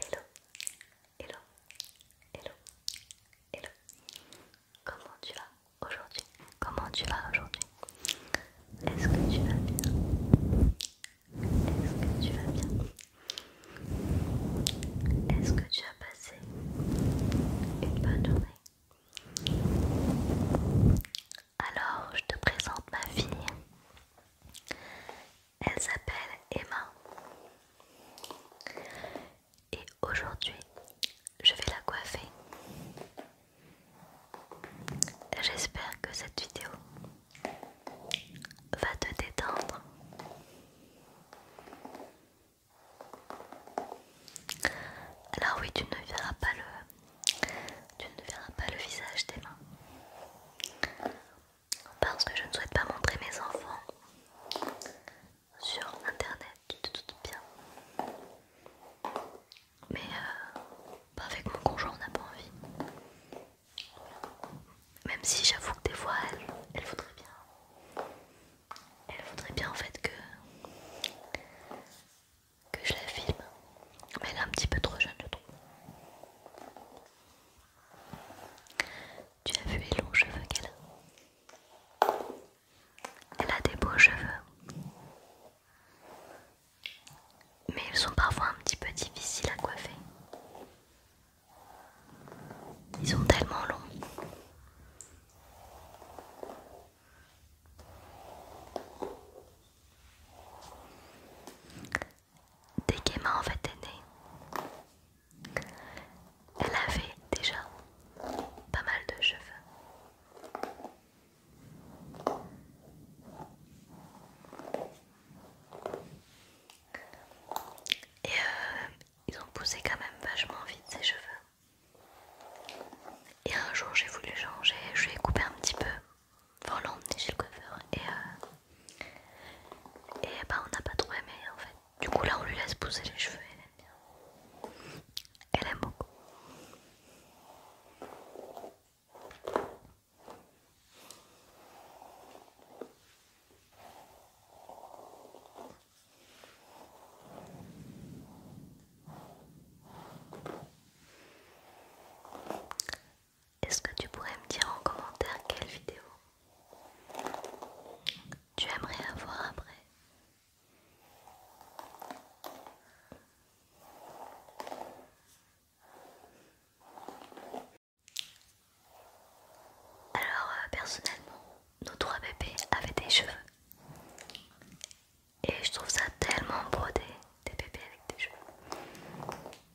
Hello, hello, hello, hello. Comment tu vas aujourd'hui Comment tu vas aujourd'hui Est-ce que tu vas bien Est-ce que tu vas bien Est-ce que tu as passé une bonne journée Alors, je te présente ma fille. Elle s'appelle Emma. Et aujourd'hui, je vais la coiffer. J'espère que cette vidéo va te détendre. Alors oui, tu ne verras pas le, tu ne verras pas le visage d'Emma parce que je ne souhaite pas montrer mes enfants sur internet, tout te doutes bien. Mais euh, avec mon conjoint, on n'a pas envie. Même si j'avoue que des fois, elle, voudrait bien. Elle voudrait bien en fait que que je la filme. Mais elle est un petit peu trop jeune, je trouve. Tu as vu les longs cheveux qu'elle a Elle a des beaux cheveux. Mais ils sont parfois un petit peu difficiles à coiffer. Ils sont tellement longs m'a en fait est Elle avait déjà pas mal de cheveux. Et euh, ils ont poussé quand même vachement vite ses cheveux. Et un jour j'ai voulu changer, je lui ai coupé un petit peu on l'emmener chez le coiffeur et, euh, et bah on n'a pas trop aimé en fait. Du coup là on lui laisse pousser les cheveux, elle aime bien. Elle aime beaucoup. Est-ce que tu pourrais me dire en commentaire quelle vidéo tu aimerais avoir après Alors euh, personnellement, nos trois bébés avaient des cheveux. Et je trouve ça tellement brodé, des bébés avec des cheveux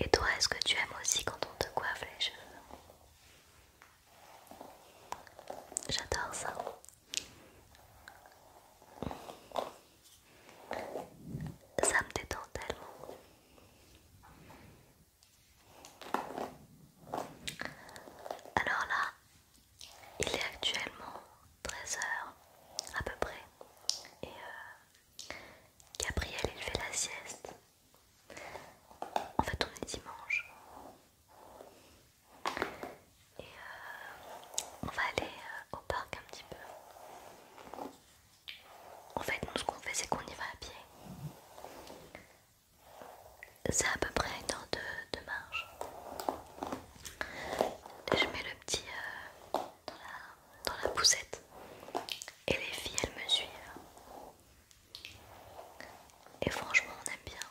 Et toi, est-ce que tu aimes aussi quand on te coiffe les cheveux J'adore ça. Ça me détend tellement. Alors là, il est actuellement 13h à peu près et euh, Gabriel il fait la sieste. En fait on est dimanche et euh, on va aller euh, au parc un petit peu. En fait nous ce qu'on fait c'est qu'on y va à pied. C'est à peu près une heure de marche je mets le petit euh, dans, la, poussette. Et les filles, elles me suivent. Et franchement, on aime bien.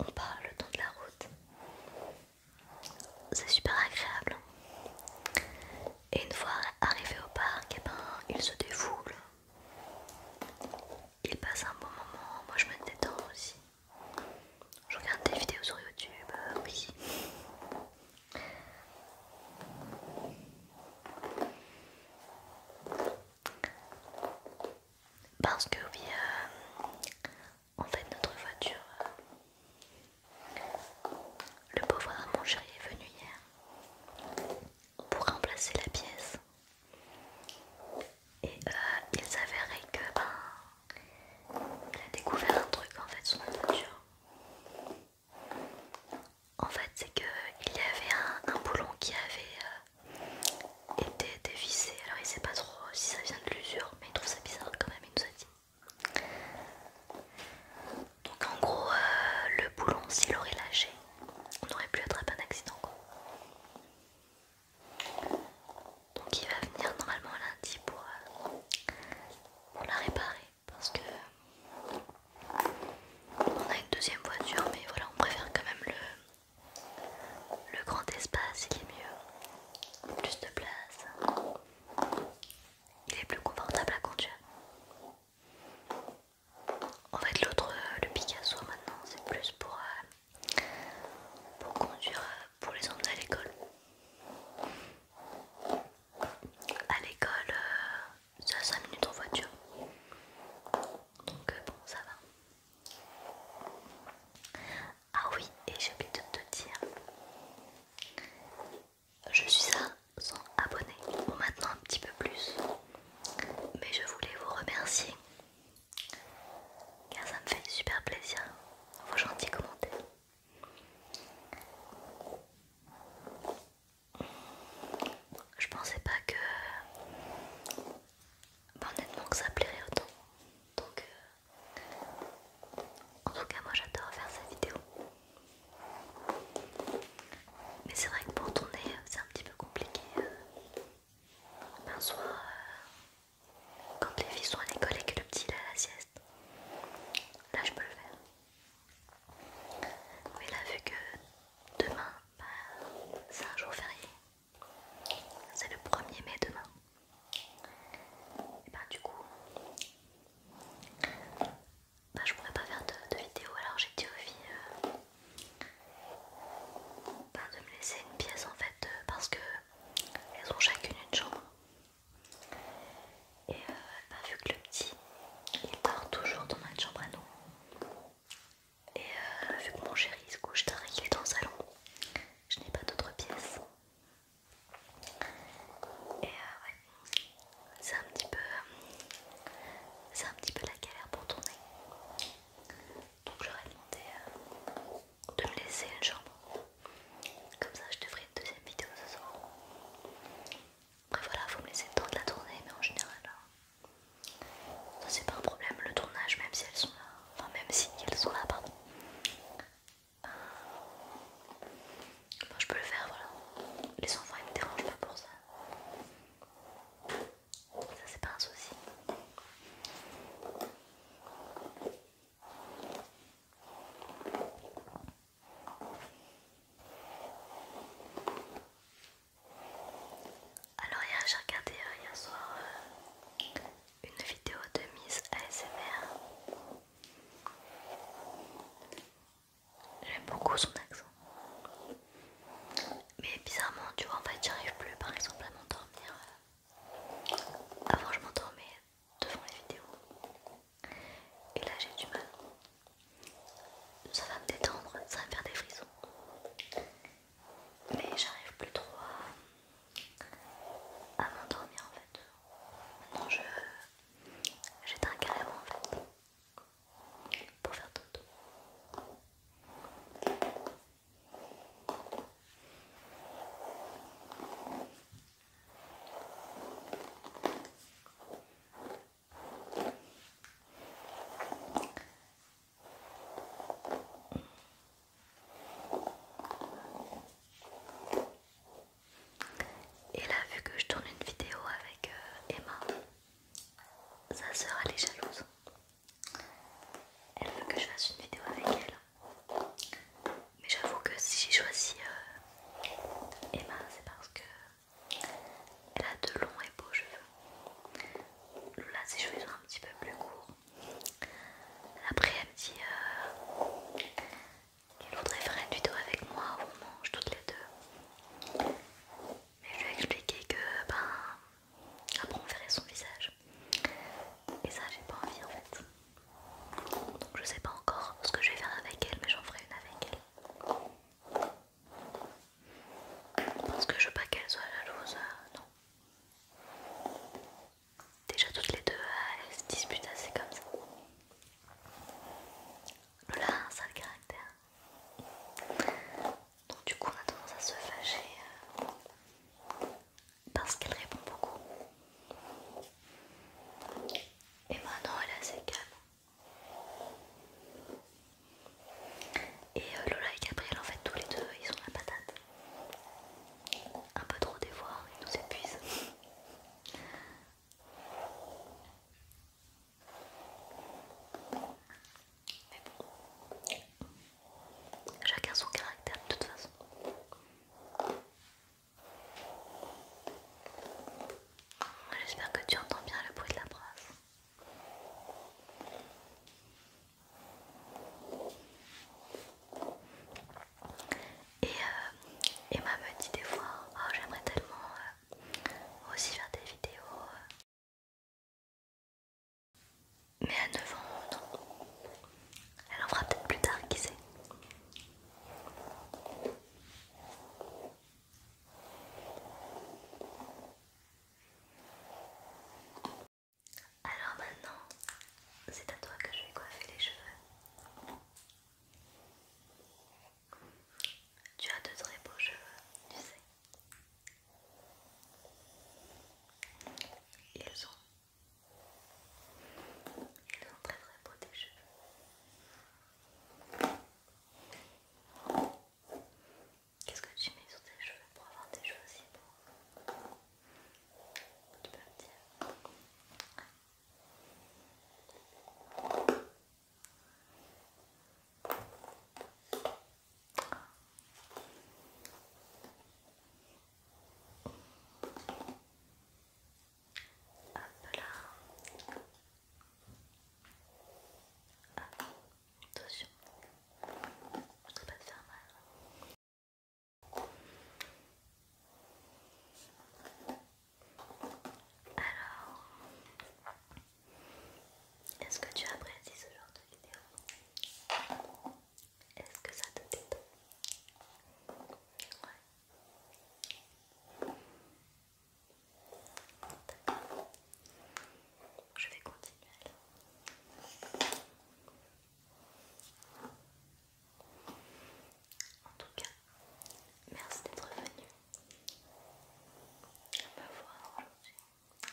On parle le temps de la route. C'est super agréable. Hein. Et une fois arrivé au parc, et eh ben, ils se défoule. Il passe un bon moment. Moi, je me détends aussi. Je regarde des vidéos sur YouTube, euh, oui. Parce que oui, euh, en fait notre voiture, euh, le pauvre mon chéri est venu hier pour remplacer la pièce et euh, il s'avérait que ben il a découvert un truc en fait sur la voiture En fait c'est que il y avait un, boulon qui avait euh, été dévissé. Alors il sait pas trop si ça vient de l'usure, mais il trouve ça bizarre quand même, il nous a dit. Donc en gros euh, le boulon s'il aurait lâché, on aurait pu attraper un accident quoi. Donc il va venir normalement lundi euh, pour, la réparer parce que on a une deuxième voiture mais voilà on préfère quand même le, grand espace, il est mieux, plus de place, il est plus confortable à conduire. En fait l'autre, euh, le Picasso maintenant c'est plus pour... Euh, pour conduire euh, pour les enfants à l'école. À l'école, ça euh, c'est 5 minutes en voiture. Donc euh, bon, ça va. Ah oui, et j'ai oublié de te dire, je suis à 100 abonnés, pour maintenant un petit peu plus, mais je voulais vous remercier car ça me fait super plaisir vos gentils commenter Je pensais pas que bah, honnêtement que ça plairait autant. Donc euh, en tout cas moi j'adore faire cette vidéo. Mais c'est vrai que pour tourner c'est un petit peu compliqué. Euh, ben soit euh, quand les filles sont à l'école et que le petit il à la sieste, là je peux le faire. Mais là, vu que demain, bah, c'est un jour férié, c'est le 1er mai demain, et bah, du coup, bah, je pourrais pas faire de, vidéo alors j'ai dit aux filles. Euh, bah, de me laisser une pièce en fait euh, parce que elles ont chacune une chambre. Et euh, bah, vu que le petit, il dort toujours dans notre chambre à nous. Et euh, vu que mon chéri se couche tard est dans le salon, je n'ai pas d'autre pièce. Et euh, ouais, c'est un petit peu, c'est un petit peu la galère pour tourner. Donc j'aurais demandé euh, de me laisser un chambre. Comme ça je te ferai une deuxième vidéo ce soir. Après voilà, faut me laisser le temps de la tournée mais en général, euh, ça c'est pas un problème. Le tournage, même si elles sont là, enfin même si elles sont là, pardon. bon euh, je peux le faire, voilà. Les enfants ils me dérangent pas pour ça ça c'est pas un souci. Alors hier j'ai regardé euh, hier soir euh, une vidéo de Miss ASMR. J'aime beaucoup son accent. Mais bizarrement, tu vois, en fait, j'arrive plus par exemple à m'endormir. Euh, avant je m'endormais devant les vidéos et là j'ai du mal. Ça va me détendre, ça va me faire des frissons. Mais j'arrive plus trop à, m'endormir en fait. Maintenant je j'éteins carrément en fait pour faire tout et là, vu que je tourne une vidéo avec euh, Emma, sa sœur elle est jalouse. Elle veut que je fasse une vidéo avec elle. Mais j'avoue que si j'ai choisi euh, Emma, c'est parce que elle a de longs et beaux cheveux. là ses cheveux sont un petit peu plus courts. Après, elle me dit euh, qu'elle voudrait faire une vidéo avec moi où on mange toutes les deux. Mais je lui ai expliqué que ben après, on verrait son visage. Et ça, j'ai pas envie en fait. Donc, je sais pas encore ce que je vais faire avec elle, mais j'en ferai une avec elle. Parce que je veux pas qu'elle soit jalouse, euh, non. Déjà toutes les deux euh, elles se disputent assez comme ça. Lola a un sale caractère. Donc du coup on a tendance à se fâcher euh, parce qu'elle répond beaucoup. Et maintenant elle est assez calme. Et euh, Lola et Gabriel en fait tous les deux ils ont la patate. Un peu trop d'efforts, ils nous épuisent. Mais bon, chacun son caractère de toute façon. J'espère que tu entends bien le bruit de la brasse. Et euh, Emma me dit des fois, oh, j'aimerais tellement euh, aussi faire des vidéos euh, mais à 9 ans, Elle en fera peut-être plus tard, qui sait. Alors maintenant, c'est à toi que je vais coiffer les cheveux. Tu as de très beaux cheveux, tu sais. Ils sont, ils très très beaux tes cheveux. Qu'est-ce que tu mets sur tes cheveux pour avoir des cheveux aussi beaux Tu peux me dire peu là. attention, je ne pas te faire mal. Alors, est-ce que tu apprécies ce genre de vidéo Est-ce que ça te détend Je vais continuer alors. En tout cas, merci d'être venu me voir aujourd'hui.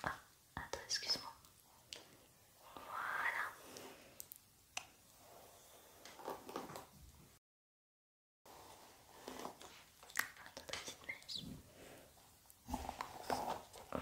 Ah. Attends, excuse-moi. Voilà. Attends, ta petite mèche. Voilà. Hop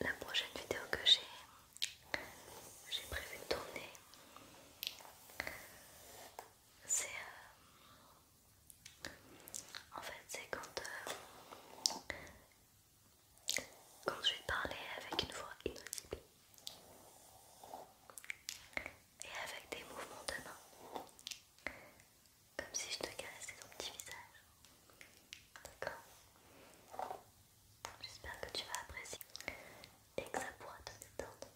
la prochaine vidéo que j'ai prévu de tourner, c'est euh, en fait c'est euh, quand je vais parler avec une voix inaudible et avec des mouvements de main comme si je te caressais ton petit visage d'accord J'espère que tu vas apprécier et que ça pourra te détendre.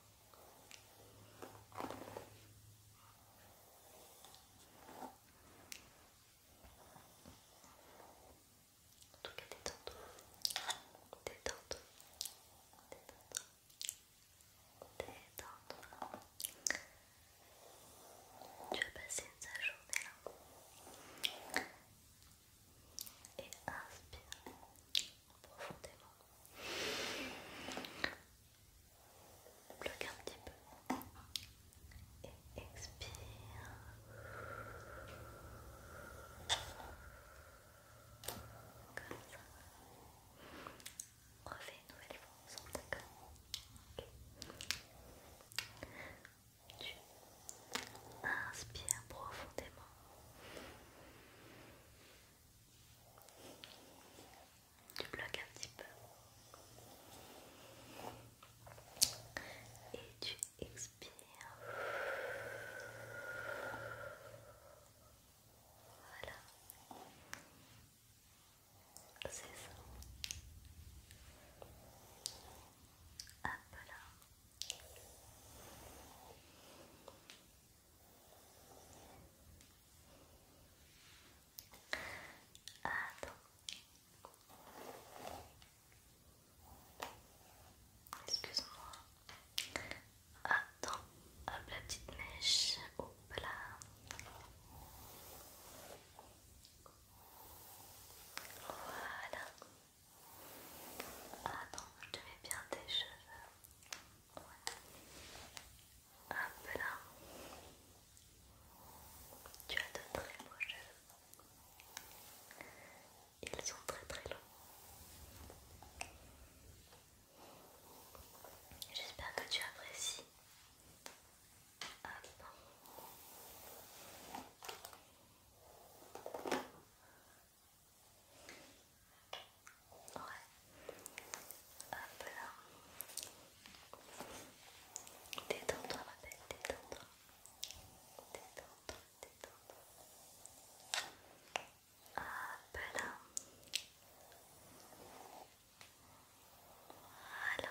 En tout cas, détends-toi. Détends-toi. Détends-toi. Détends-toi. Tu vas passer une sale journée là et inspire profondément. Bloque un petit peu et expire. Comme ça. On refait une nouvelle fois ensemble, d'accord tu inspires profondément. Tu bloques un petit peu. Et tu expires. Voilà. C'est ça. Hop là. Attends. Excuse-moi. Attends. Hop la petite mèche. Hop là. Voilà. Attends, je te mets bien tes cheveux. Ouais. Hop là. Tu as de très beaux cheveux. Ils sont très très longs. J'espère que tu apprécies Hop. Ouais. Hop là. Détends-toi ma belle, détends-toi. Détends-toi, détends-toi. Hop là. Voilà.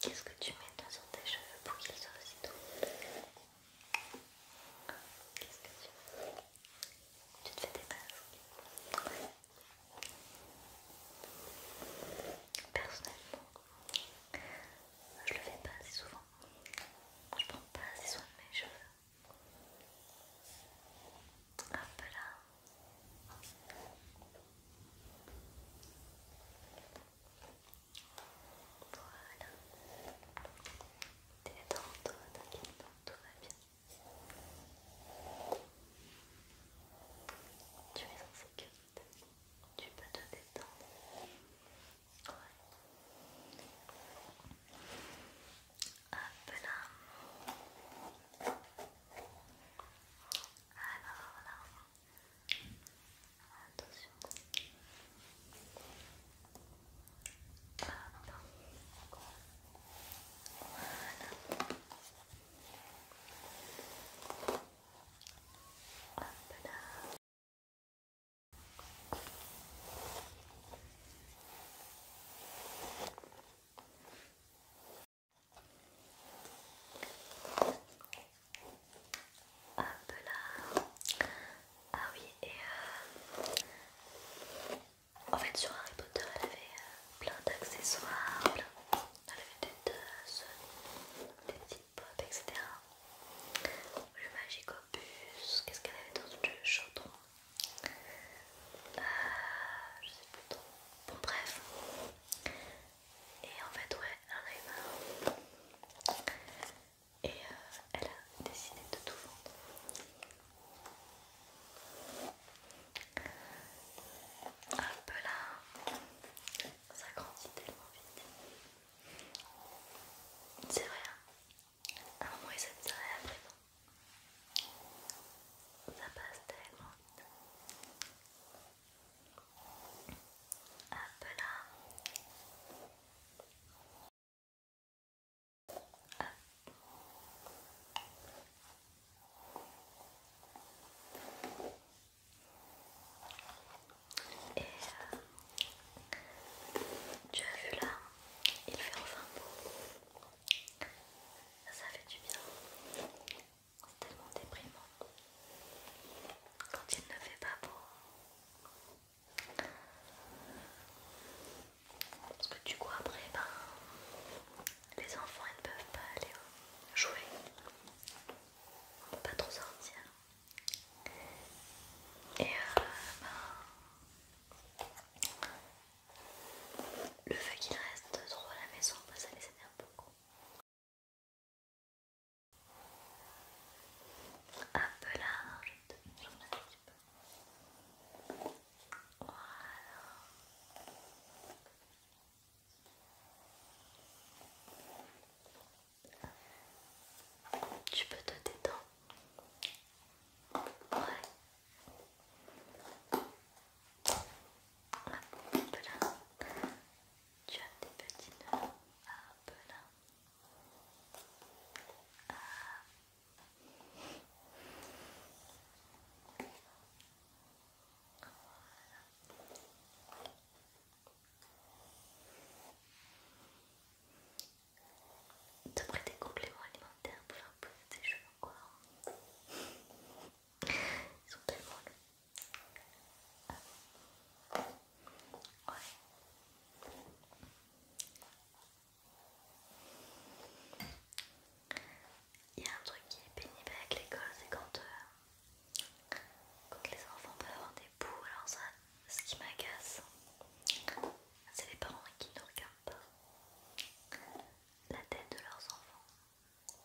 Qu'est-ce que tu mets dans sur tes cheveux pour qu'ils soient aussi doux Qu'est-ce que tu fais Tu te fais des masques Personnellement, je le fais pas assez souvent. Je prends pas assez soin de mes cheveux. Hop là. Voilà. T'es dans toi, t'inquiète pas, tout va bien. Tu es en sécurité. Tu peux te détendre. Ouais. Hop là. Alors là. Attention. Hop. Voilà. Ah oui, et euh, en fait sur Harry Potter, elle avait euh, plein d'accessoires, elle avait des deux des petits pop, etc. Le Magic Opus, qu'est-ce qu'elle avait dans le chaudron euh, Je sais plus trop. Bon, bref. Et en fait, ouais, elle a eu marre. Et euh, elle a décidé de tout vendre. Un peu là ça grandit tellement vite. C'est vrai, à hein. un moment ils s'aiment ça et après non. Ça passe tellement vite. Hop là. Hop. Et euh, tu as vu là, il fait enfin beau. Ça fait du bien. C'est tellement déprimant. Quand il ne fait pas beau. Parce que du coup après, ben, les enfants ils ne peuvent pas aller jouer. On peut pas trop sortir. Et euh, ben, le fait qu'il reste trop à la maison, ben, ça les énerve beaucoup. Un peu large, un Voilà. Tu peux te détendre. Ouais. Hop là. Tu as des petits nœuds. Hop là. Voilà. De prêter des compléments alimentaires pour faire pousser tes cheveux encore. Hein Ils sont tellement ah. Ouais. Il y a un truc qui est pénible avec l'école, c'est quand quand les enfants peuvent avoir des bouts, alors ça, ce qui m'agace, c'est les parents qui ne regardent pas la tête de leurs enfants.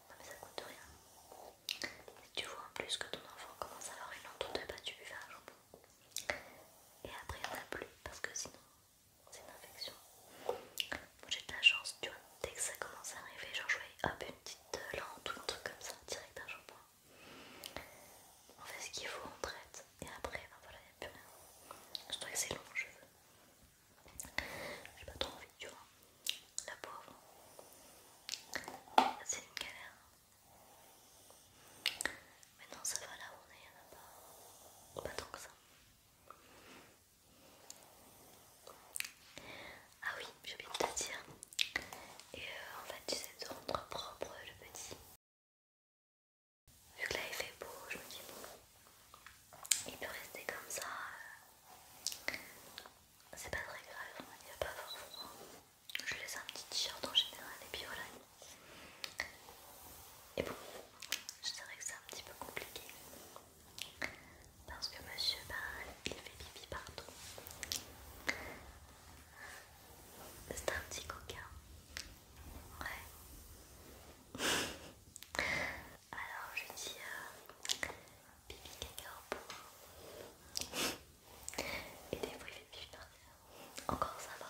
Non mais ça coûte rien. Si tu vois en plus que ton enfant commence à avoir une ou de tu lui fais un jambon. Et après il n'y en a plus parce que sinon c'est une infection. Moi j'ai de la chance, tu vois, dès que ça commence à arriver, genre je voyais hop une petite lente ou un truc comme ça, direct à shampoing. On fait ce qu'il faut, on traite, et après, ben voilà, il plus rien. Je trouve que c'est long, je veux. J'ai pas trop envie, tu vois. La pauvre. C'est une galère. mais non ça va là où on est, il n'y en a pas, pas tant que ça. Ah oui, j'ai oublié de te dire. Et euh, en fait, tu sais, de rendre propre le petit. Vu que là il fait beau, je me dis bon, il peut rester comme ça. Euh, c'est pas très grave, hein, il va pas avoir froid. Je laisse un petit t-shirt en général et puis Et bon, je dirais que c'est un petit peu compliqué. Parce que monsieur, bah, il fait pipi partout. C'est un petit coquin. Ouais. Alors je dis euh, pipi caca au Et des fois il fait pipi par terre. Encore ça va.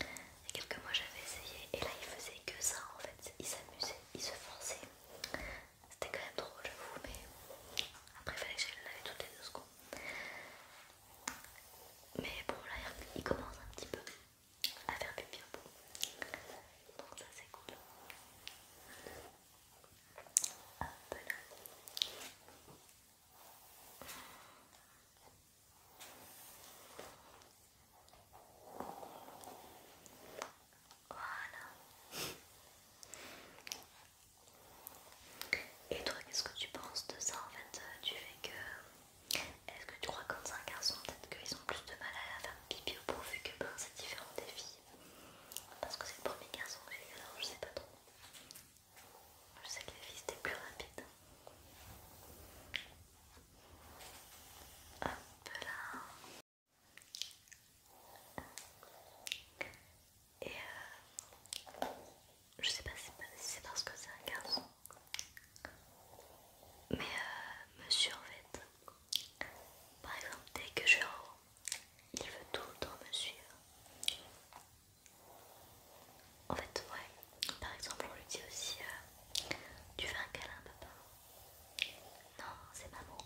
Il y a quelques mois j'avais essayé et là il faisait que ça en fait. Il s'amusait, il se forçait. C'était quand même drôle, vous mais après, il fallait que je le laver toutes les deux secondes. Mais bon, là, il commence un petit peu à faire pipi bien Donc, ça, c'est cool. peu là. Voilà. Et toi, qu'est-ce que tu penses de ça en fait Tu euh, fais que. Est-ce que tu crois que quand c'est un garçon, peut-être qu'ils ont plus de mal à faire pipi au pot vu que bon, c'est différent des filles Parce que c'est le premier garçon que alors je sais pas trop. Je sais que les filles c'était plus rapide. Hop là. Et euh, je sais pas si c'est parce que c'est un garçon, mais euh, monsieur en fait, par exemple, dès que je suis en haut, il veut tout le temps me suivre. En fait, ouais, par exemple, on lui dit aussi euh, Tu veux un câlin, papa. Non, c'est maman.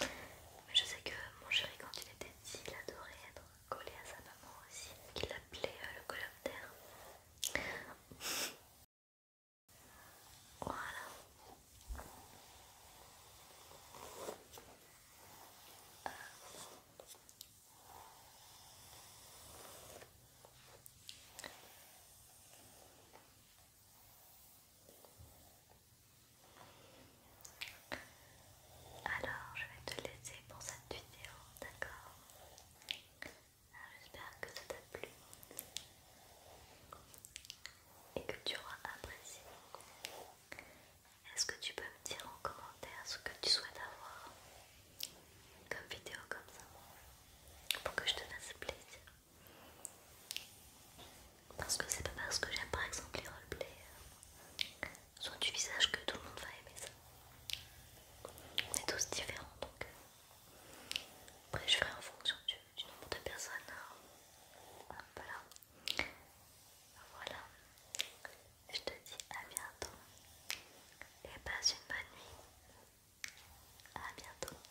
Mais je sais que mon chéri, quand il était petit, il adorait être collé à sa maman aussi, qu'il appelait euh, le coloptère. Voilà. Alors, je vais te laisser pour cette vidéo, d'accord J'espère que ça t'a plu et que tu auras apprécié. Est-ce que tu peux me dire en commentaire ce que tu souhaites avoir comme vidéo comme ça pour que je te fasse plaisir parce que c'est pas parce que j'aime par exemple les roleplays euh, soit du visage que tout le monde va aimer ça. On est tous différents donc. Euh, après je ferai en fonction du, nombre de personnes. Hein. voilà. Voilà. Je te dis à bientôt. Et passe une bonne nuit. À bientôt.